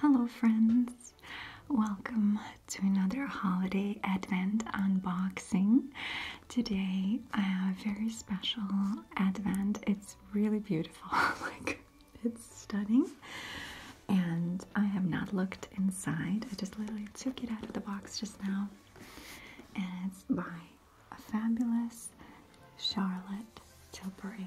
Hello, friends! Welcome to another holiday Advent unboxing. Today, I have a very special Advent. It's really beautiful, like, it's stunning. And I have not looked inside, I just literally took it out of the box just now. And it's by a fabulous Charlotte Tilbury.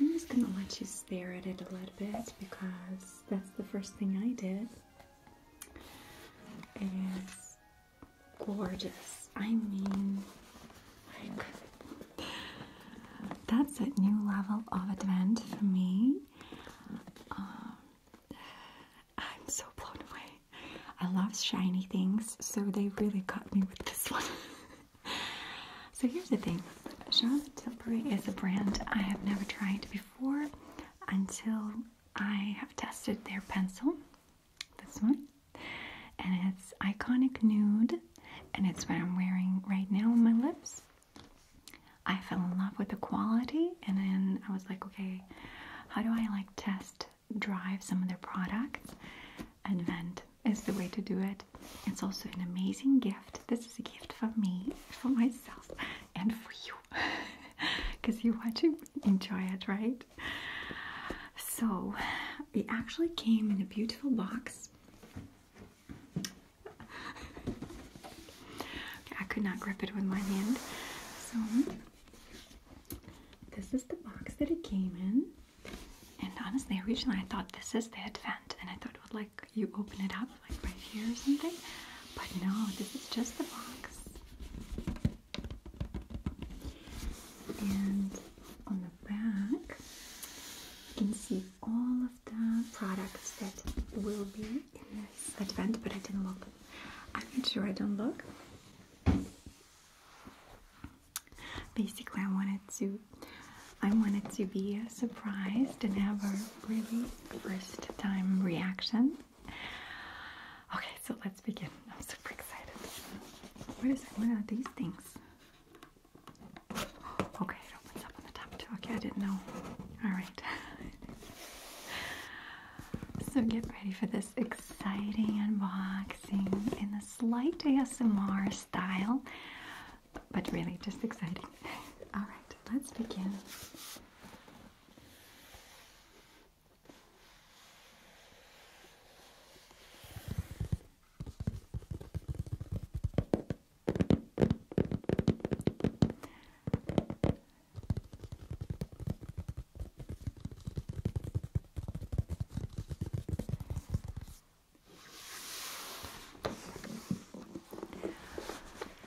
I'm just going to let you stare at it a little bit because that's the first thing I did. It's gorgeous. I mean, like, that's a new level of advent for me. Um, I'm so blown away. I love shiny things, so they really caught me with this one. so here's the thing Charlotte Tilbury is a brand I have never tried before until I have tested their pencil. This one. And it's Iconic Nude, and it's what I'm wearing right now on my lips. I fell in love with the quality, and then I was like, okay, how do I like test drive some of their products. and vent is the way to do it. It's also an amazing gift. This is a gift for me, for myself, and for you. Because you want to enjoy it, right? So, it actually came in a beautiful box. I could not grip it with my hand. So, this is the box that it came in. And honestly, originally I thought this is the advent, and I thought, well, like you open it up, like right here or something. But no, this is just the box. And on the back, you can see all of the products that will be in this advent. But I didn't look. I made sure I don't look. Basically, I wanted to, I wanted to be surprised and have a really first-time reaction. Okay, so let's begin. I'm super excited. What are these things? Okay, it opens up on the top too. Okay, I didn't know. All right. So get ready for this exciting unboxing in a slight ASMR style, but really just exciting. All right, let's begin.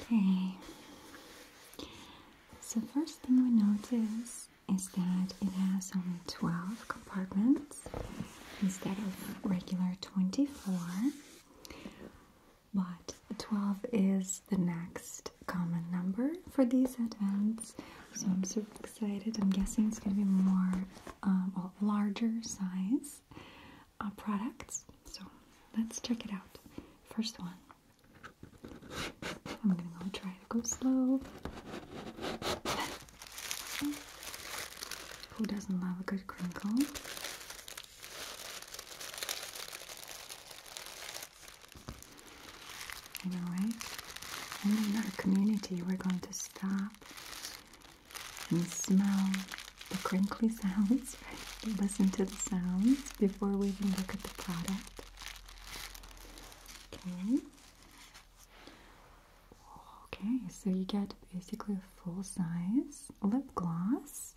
Okay. So first thing we notice is that it has only 12 compartments instead of regular 24. But 12 is the next common number for these events. So I'm super excited. I'm guessing it's going to be more um, larger size uh, products. So let's check it out. First one. I'm going to try to go slow. Who doesn't love a good crinkle? I know, right? And in our community, we're going to stop and smell the crinkly sounds, right? Listen to the sounds before we even look at the product. Okay. Okay, so you get basically a full size lip gloss.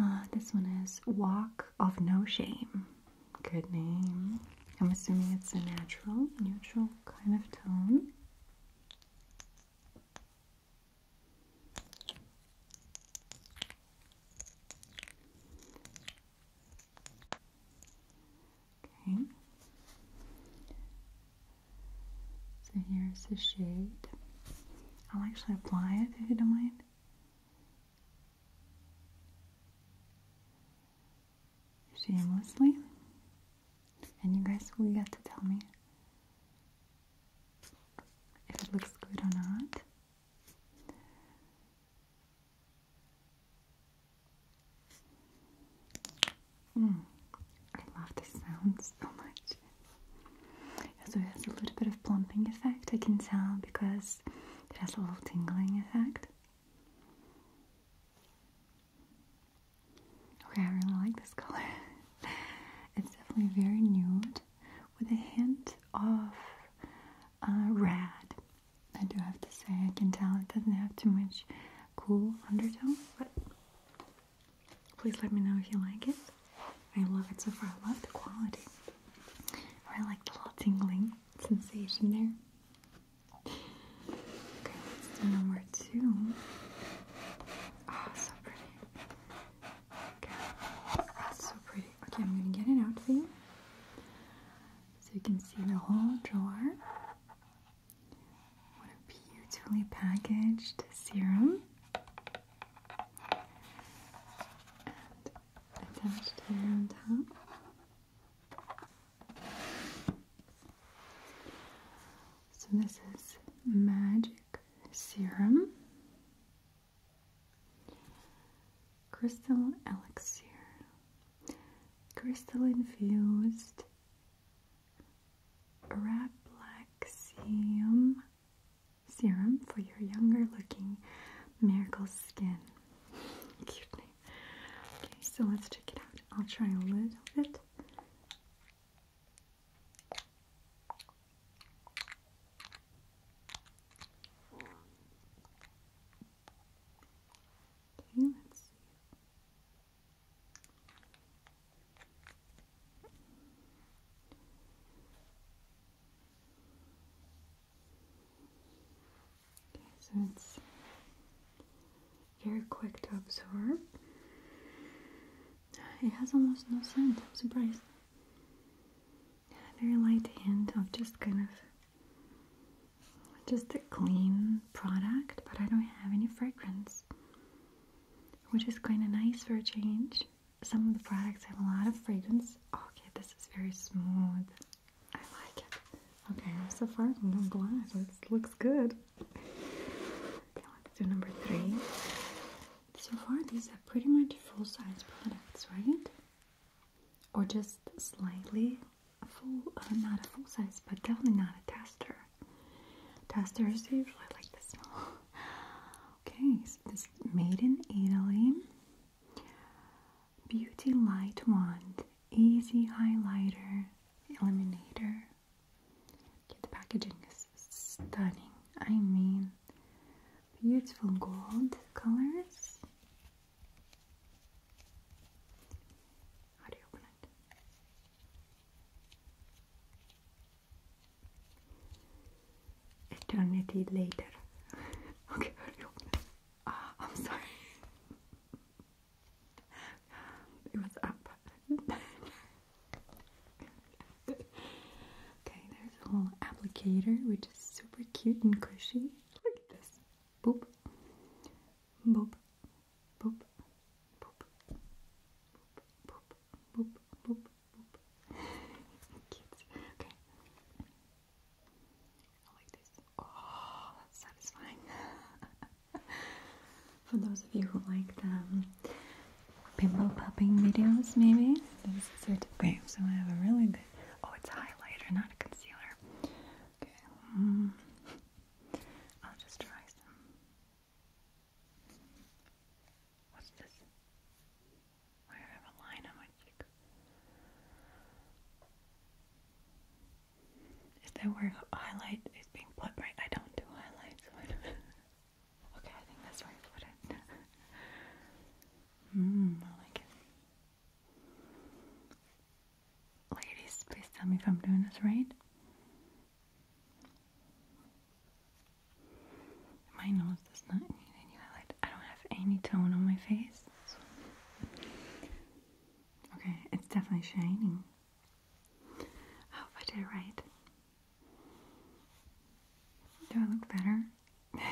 Uh, this one is Walk of No Shame. Good name. I'm assuming it's a natural, neutral kind of tone. Okay. So here's the shade. I'll actually apply it if you don't mind shamelessly. And you guys will get to tell me if it looks good or not. Hmm. I love this sound so much. So it has a little bit of plumping effect, I can tell, because it has a little tingling effect. Okay, I really like this color. it's definitely very nude with a hint of uh, red. I do have to say, I can tell it doesn't have too much cool undertone, but please let me know if you like it. I love it so far. I love the quality. I really like the little tingling sensation there. Okay, number two. Oh, so pretty. Okay, so pretty. Okay, I'm gonna get it out you. So you can see the whole drawer. What a beautifully packaged serum attached here on top. So this is Magic Serum Crystal Elixir. Crystal infused Arabic Seum serum for your younger looking miracle skin. Cute name. Okay, so let's check it out. I'll try a little bit. Okay, let's see. Okay, so it's very quick to absorb. It has almost no scent, I'm surprised. Very light hint of just kind of just a clean product, but I don't have any fragrance, which is kind of nice for a change. Some of the products have a lot of fragrance, Okay, this is very smooth. I like it. Okay, so far no glass. It looks good. Okay, let's do number three. So far, these are pretty much full-size products, right? Or just slightly full, uh, not a full size, but definitely not a tester. Testers usually like this small. okay, this is made in Italy. Beauty Light Wand Easy Highlighter Eliminator. the packaging is stunning. I mean, beautiful gold colors. How do you open eternity later. okay, ah, I'm sorry. it was up. okay, there's a little applicator which is super cute and cushy. Look Boop. Boop. Boop. Boop. Boop. Boop. Boop. Boop. Boop. Okay. Oh, For those of you who like the um, pimple popping videos, maybe this is it. Okay, so I have a really good. Oh, it's highlighter, not a concealer. Okay, mm. I'll just try some. What's this? Why I have a line on my cheek? Is that where highlight is being put right? I don't do highlights. okay, I think that's where I it. Hmm, I like it. Ladies, please tell me if I'm doing this right. My nose does not need any highlight. I don't have any tone on my face. Okay, it's definitely shining. hope oh, I did it right. Do I look better?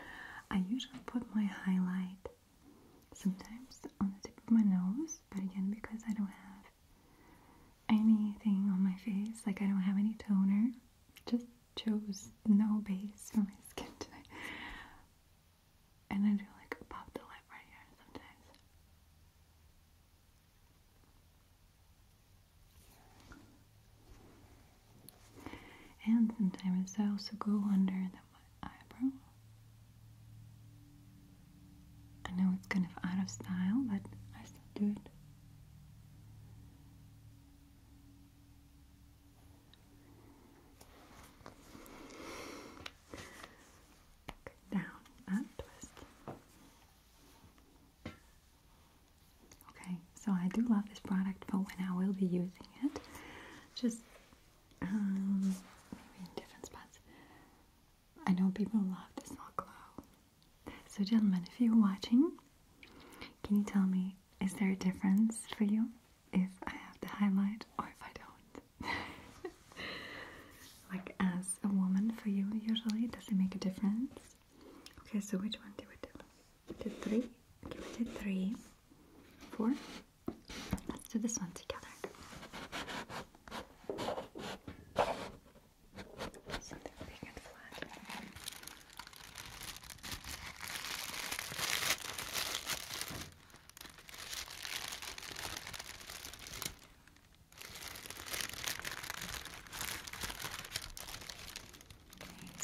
I usually put my highlight sometimes on the tip of my nose, but again, because I don't have anything on my face, like I don't have any toner, just chose no base for my skin today, And I do like pop the lip right here sometimes. And sometimes I also go under the eyebrow. I know it's kind of out of style, but I still do it. Down and twist. Okay, so I do love this product but when I will be using it. Just um, maybe in different spots. I know people love this hot glow. So, gentlemen, if you're watching can you tell me, is there a difference for you if I have the highlight or if I don't? like, as a woman, for you, usually, does it make a difference? Okay, so which one do we do? We three? Give it a three, four. Let's do this one together. Something big and flat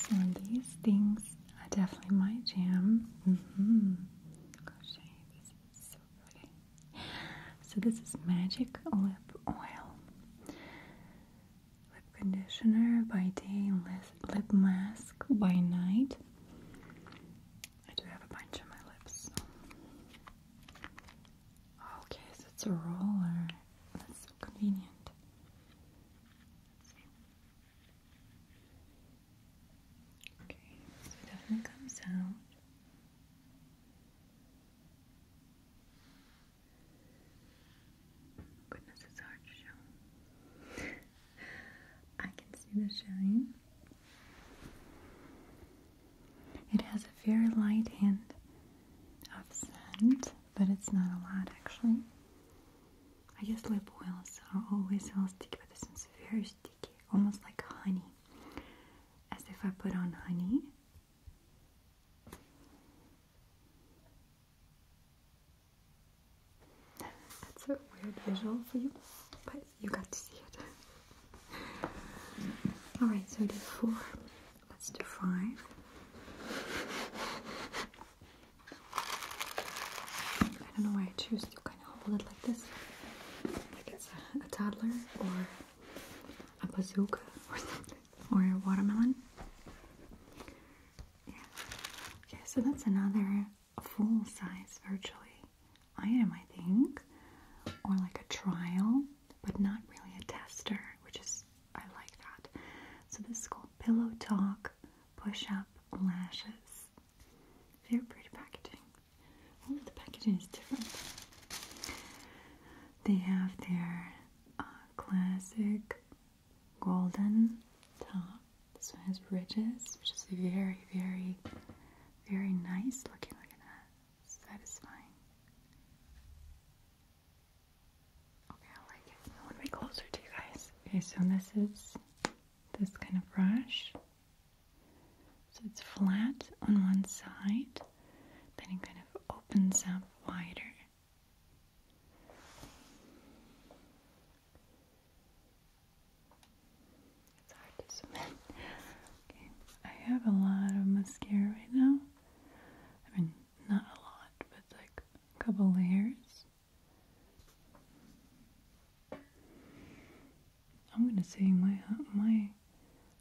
so these things are definitely my jam. Mm-hmm. so So this is magic lip oil lip conditioner by day, lip mask by night. I do have a bunch on my lips. Okay, so it's a roller. That's so convenient. Okay, so it definitely comes out. Goodness, it's hard to show. I can see the shine. It has a very light hint of scent, but it's not a lot actually. I guess lip oils are always all sticky, but this one's very sticky, almost like honey. As if I put on honey. That's a weird visual for you, but you got to see it. Alright, so we did four. Let's do five. I don't know why I choose to kind of hold it like this. Like it's a, a toddler or a bazooka or something, or a watermelon. Yeah. Okay, so that's another full size virtually item, I think, or like a trial, but not really a tester, which is, I like that. So this is called Pillow Talk Push Up Lashes. Very pretty packaging. All the packaging is different. They have their uh, classic golden top. This one has ridges, which is very, very, very nice looking. Look at that. Satisfying. Okay, I like it. I want to be closer to you guys. Okay, so this is this kind of brush. So it's flat on one side, then it kind of opens up wider it's hard to submit. I have a lot of mascara right now. I mean, not a lot, but like a couple layers. I'm gonna say my uh, my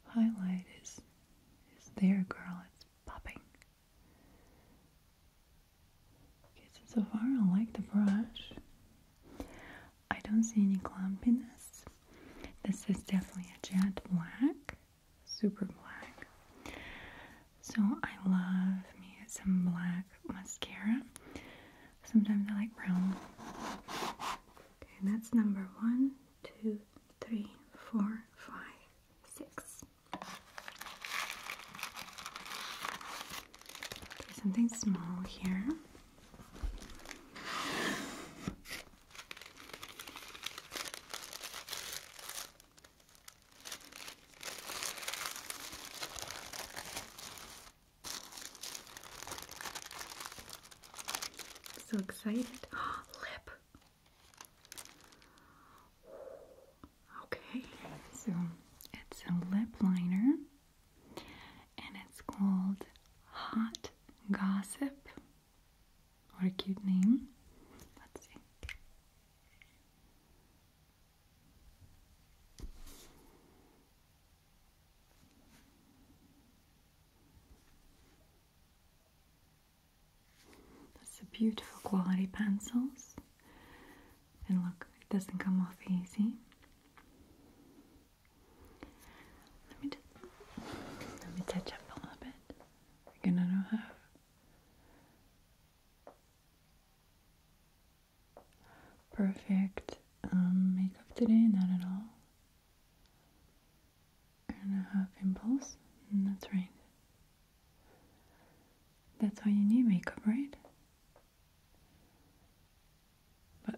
highlight is is there, girl. It's popping. Okay, so, so far I like the brush. I don't see any clumpiness. This is definitely a jet black, super black. So I love me some black mascara. Sometimes I like brown. Okay, that's number one, two, three, four, five, six something small here. So excited. Lip. Okay, so it's a lip liner and it's called Hot Gossip. What a cute name. Let's see. That's a beautiful quality pencils. And look, it doesn't come off easy. Let me just let me touch up a little bit. gonna know Perfect um, makeup today, not at all. And a half impulse, mm, that's right. That's why you need makeup, right? But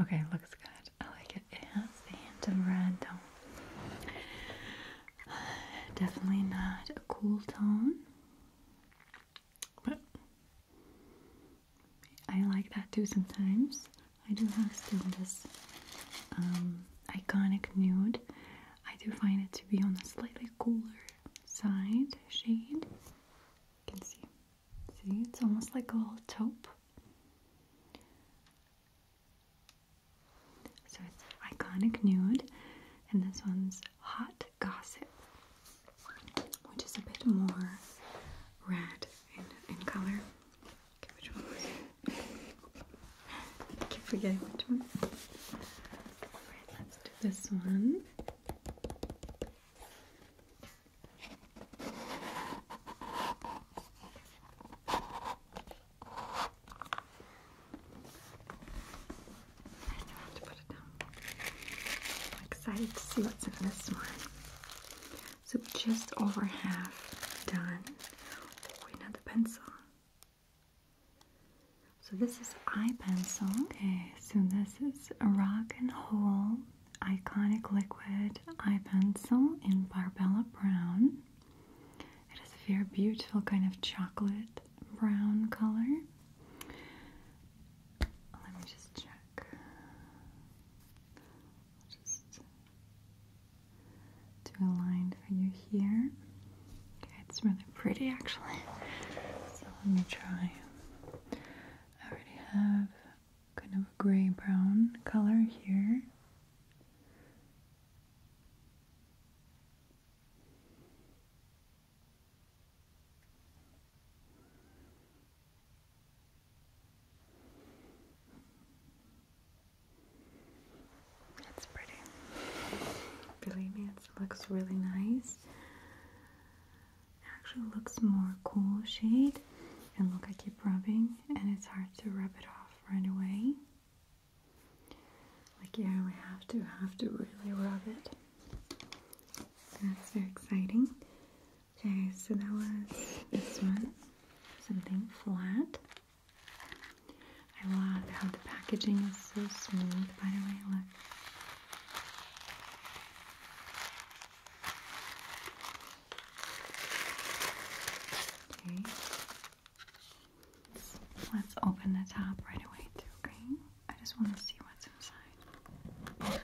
okay, looks good. I like it. It has the hint of red though. Definitely not a cool tone. But I like that too sometimes. I do have still this um, iconic nude I do find it to be on the slightly cooler side shade. You can see, see, it's almost like a little taupe. So it's iconic nude, and this one's hot gossip, which is a bit more red in, in color. Okay, which one was it? I keep forgetting which one. Alright, let's do this one. I still to put it down. am excited to see what's in this one. So just over half done. another pencil. So this is eye pencil. Okay, so this is rock and Roll iconic liquid eye pencil in Barbella Brown. It is a very beautiful kind of chocolate brown color. Let me just check do a line for you here. Okay, it's really pretty actually. So let me try. I already have kind of a gray brown color here. It's pretty. Believe me, it looks really nice. Actually, looks more cool shade. And look, I keep rubbing, and it's hard to rub it off right away. Like yeah, we have to have to really rub it. that's very exciting. Okay, so that was this one, something flat. I love how the packaging is so smooth, by the way, look. Okay. Let's open the top right away too, okay? I just want to see what's inside.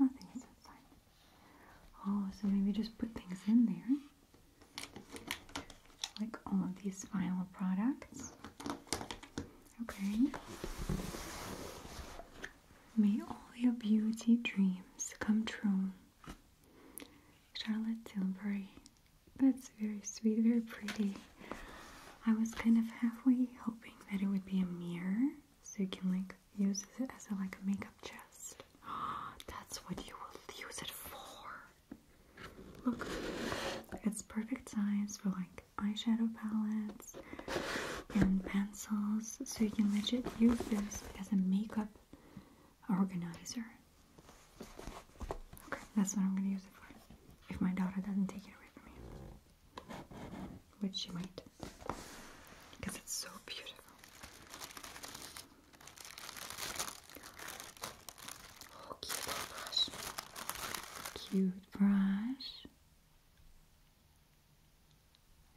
Nothing is inside. Oh, so maybe just put things in there. Like all of these final products. Okay. May all your beauty dreams come true. Charlotte Tilbury. That's very sweet, very pretty. I was kind of halfway hoping that it would be a mirror so you can like use it as a like a makeup chest. Ah, That's what you will use it for. Look, it's perfect size for like eyeshadow palettes and pencils so you can legit use this as a makeup organizer. Okay, that's what I'm gonna use it for. If my daughter doesn't take it away from me, which she might, because it's so beautiful. Oh, cute brush. Cute brush.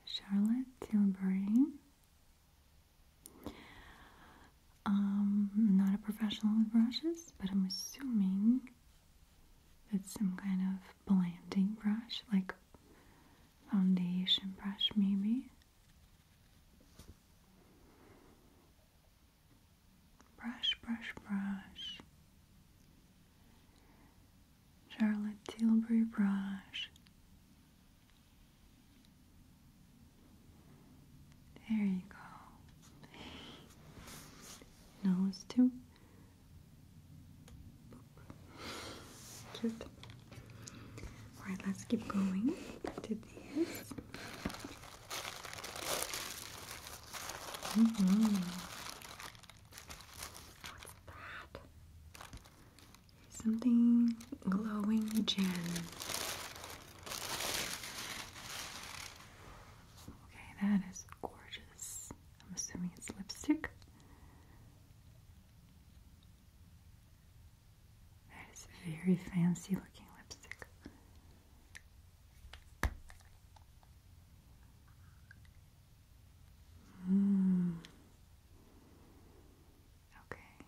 Charlotte Tilbury. Um, not a professional with brushes, but I'm assuming that's some kind of blending brush, like foundation brush, maybe. Brush, brush, brush. Charlotte Tilbury brush. There you go. Nose too. Boop. Cute. Alright, let's keep going to this. Mm-hmm. What's that? Something glowing gem. Okay, that is gorgeous. I'm assuming it's lipstick. That is very fancy looking lipstick. Mm. Okay.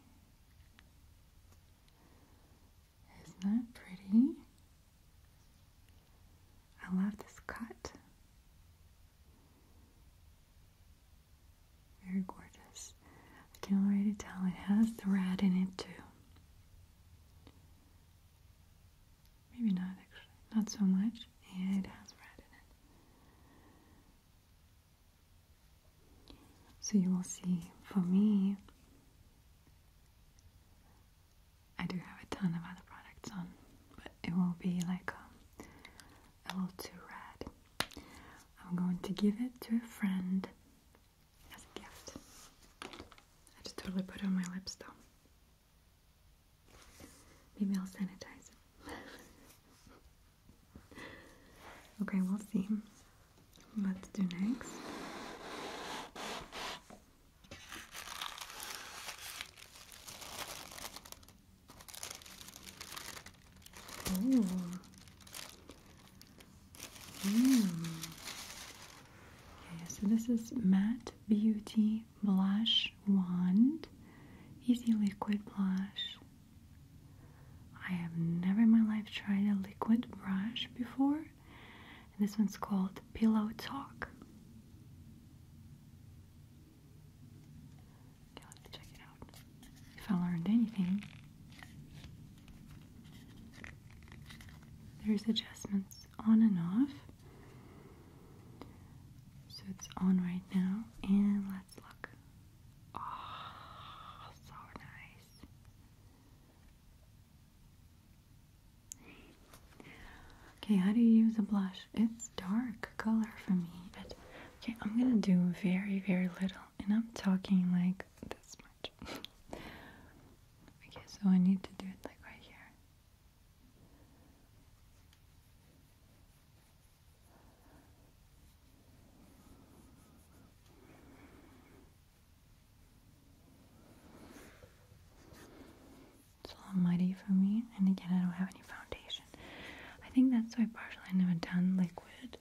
Isn't that pretty? I love this cut. Very gorgeous. I can already tell it has the red in it too. Maybe not actually, not so much. Yeah, it has red in it. So you will see, for me, I do have a ton of other products on, but it will be like um, a, little too red. I'm going to give it to a friend as a gift. I just totally put it on my lips though. Maybe I'll sanitize it. okay, we'll see. Let's do next. Hmm. Okay, so this is Matt Beauty Blush Wand. Easy liquid blush. I have never in my life tried a liquid brush before. And this one's called Pillow Talk. If I learned anything, there's adjustments on and off. So it's on right now, and let's look. Oh, so nice. Okay, how do you use a blush? It's dark color for me. But, okay, I'm gonna do very, very little, and I'm talking like this much. okay, so I need to do it like right here. It's a little muddy for me, and again, I don't have any foundation. I think that's why partially I never done liquid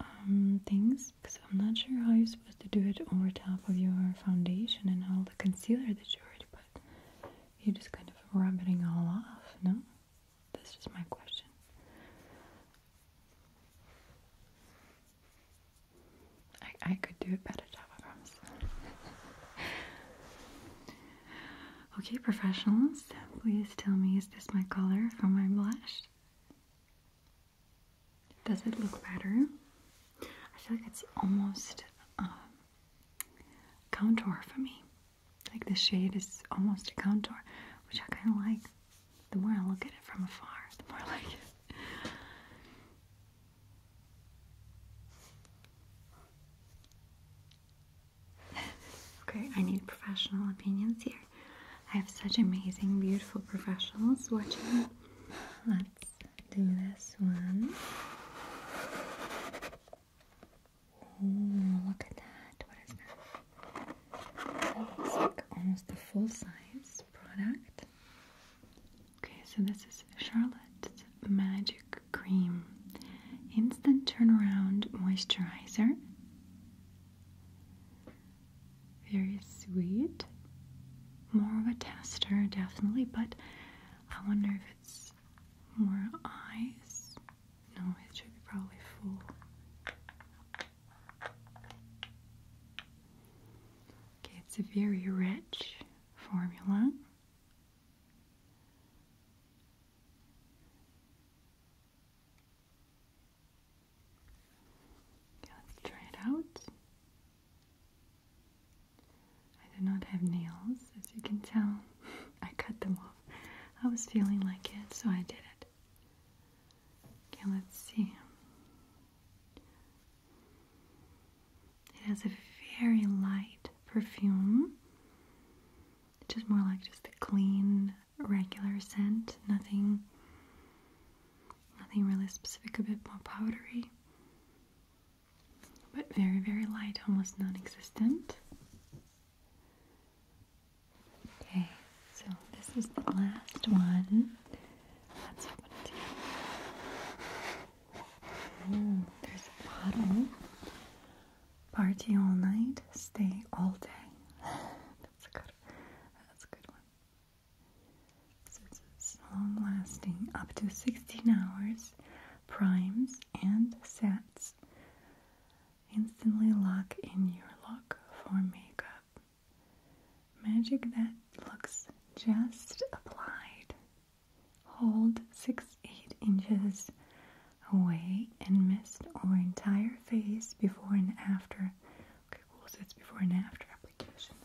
um, things because I'm not sure how you're supposed to do it over top of your foundation and all the concealer that you already put. You're just kind of rubbing it all off, no? That's just my question. I, I could do a better job, okay, professionals, please tell me, is this my color for my blush? Does it look better? I feel like it's almost um, contour for me. Like the shade is almost a contour, which I kind of like. The more I look at it from afar, the more I like it. okay, I need professional opinions here. I have such amazing, beautiful professionals watching. Let's do this one. Oh, look at that. What is that? looks like almost a full size product. Okay, so this is Charlotte's Magic Cream Instant Turnaround Moisturizer. Very sweet. More of a tester, definitely, but I wonder if it's more eyes. No, it should be probably full. Okay, it's a very rich formula. Okay, let's try it out. I do not have nails, as you can tell. I cut them off. I was feeling like it, so I did it. Okay, let's see. It has a very light perfume, it's just more like just a clean, regular scent. Nothing, nothing really specific. A bit more powdery, but very, very light, almost non-existent. Okay, so this is the last one. Let's open it together. there's a bottle. Party all night, stay all day. that's a good that's a good one. this is long lasting, up to 16 hours, primes and sets. Instantly lock in your look for makeup. Magic that looks just applied. Hold 6 8 inches away and mist over entire face before and after. Okay, cool. So it's before and after application.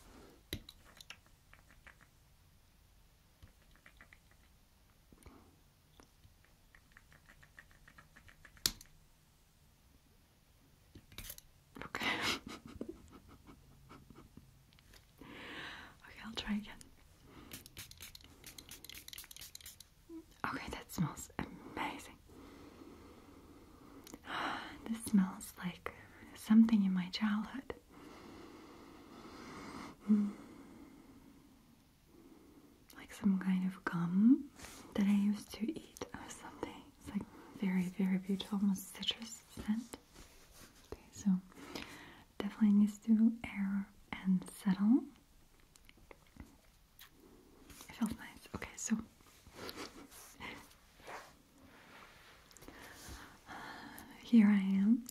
Okay. okay, I'll try again. Okay, that smells amazing. This smells like something in my childhood. Like some kind of gum that I used to eat or something. It's like very, very beautiful, almost citrus scent. Okay, so definitely needs to air and settle. It felt nice. Okay, so here I am,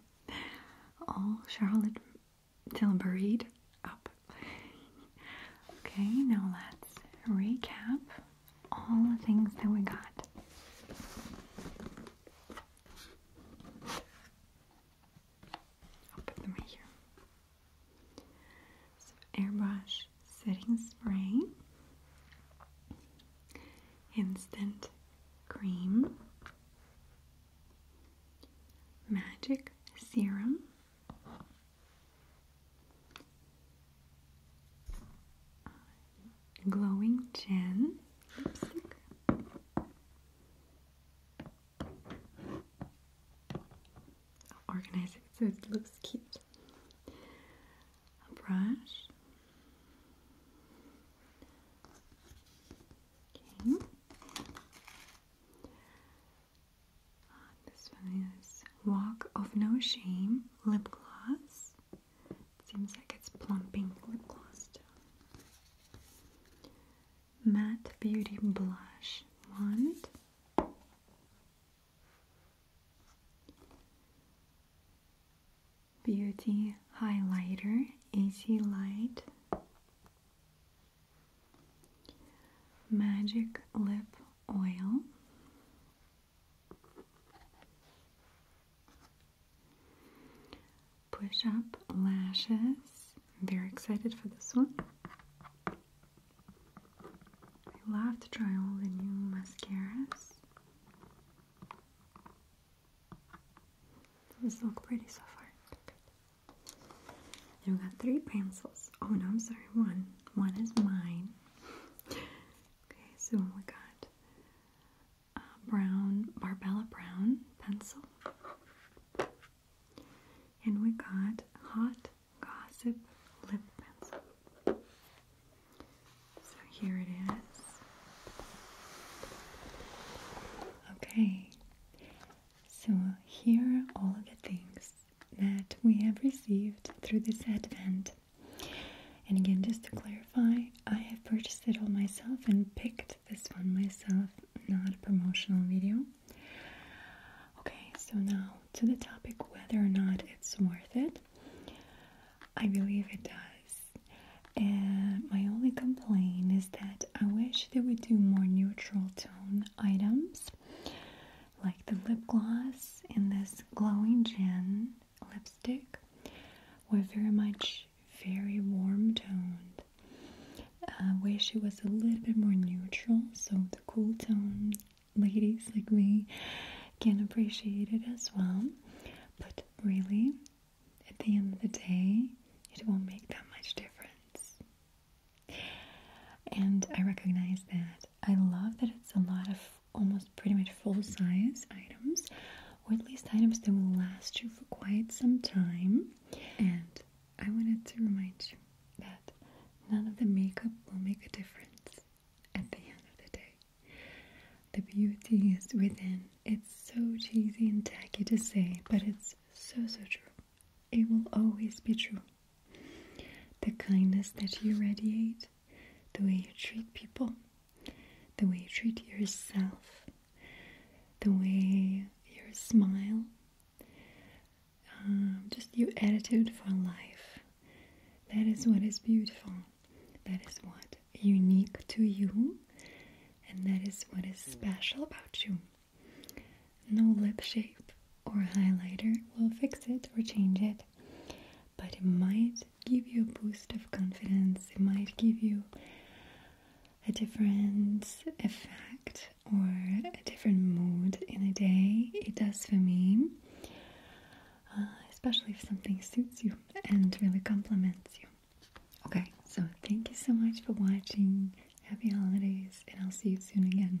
all Charlotte Tilburyed up Okay, now let's recap all the things that we got. I'll put them right here. So, airbrush setting spray, instant cream, magic serum, glowing chin lipstick. organize it so it looks cute. brush. Uh, this one is Walk of No Shame lip gloss. Seems like it's plumping lip gloss down. Matte Beauty Blush Wand. Beauty Highlighter AC Light. Magic Lip oil. Push up lashes. I'm very excited for this one. I love to try all the new mascaras. These look pretty so far. Then we got three pencils. Oh no, I'm sorry, one. One is mine okay, so we got a uh, brown Barbella brown pencil, and we got hot gossip lip pencil. So here it is. Okay, so here are all the things that we have received through this advent. And again, just to clarify, I have purchased it all myself and picked this one myself, not a promotional video. Okay, so now to the topic whether or not it's worth it. I believe it does. And my only complaint is that I wish they would do more neutral tone items like the lip gloss in this glowing gin lipstick were very much very warm toned. I uh, wish it was a little bit more neutral so the cool tone ladies like me can appreciate it as well. But really, at the end of the day, it won't make that much difference. And I recognize that. I love that it's a lot of almost pretty much full size items, or at least items that will last you for quite some time. And I wanted to remind you that none of the makeup will make a difference at the end of the day. The beauty is within. It's so cheesy and tacky to say, but it's so, so true it will always be true. The kindness that you radiate, the way you treat people, the way you treat yourself, the way you smile, um, just your attitude for life. That is what is beautiful. That is what unique to you, and that is what is special about you. No lip shape or highlighter will fix it or change it, but it might give you a boost of confidence, it might give you a different effect or a different mood in a day. It does for me, uh, especially if something suits you and really complements you. Okay, so thank you so much for watching. Happy holidays, and I'll see you soon again.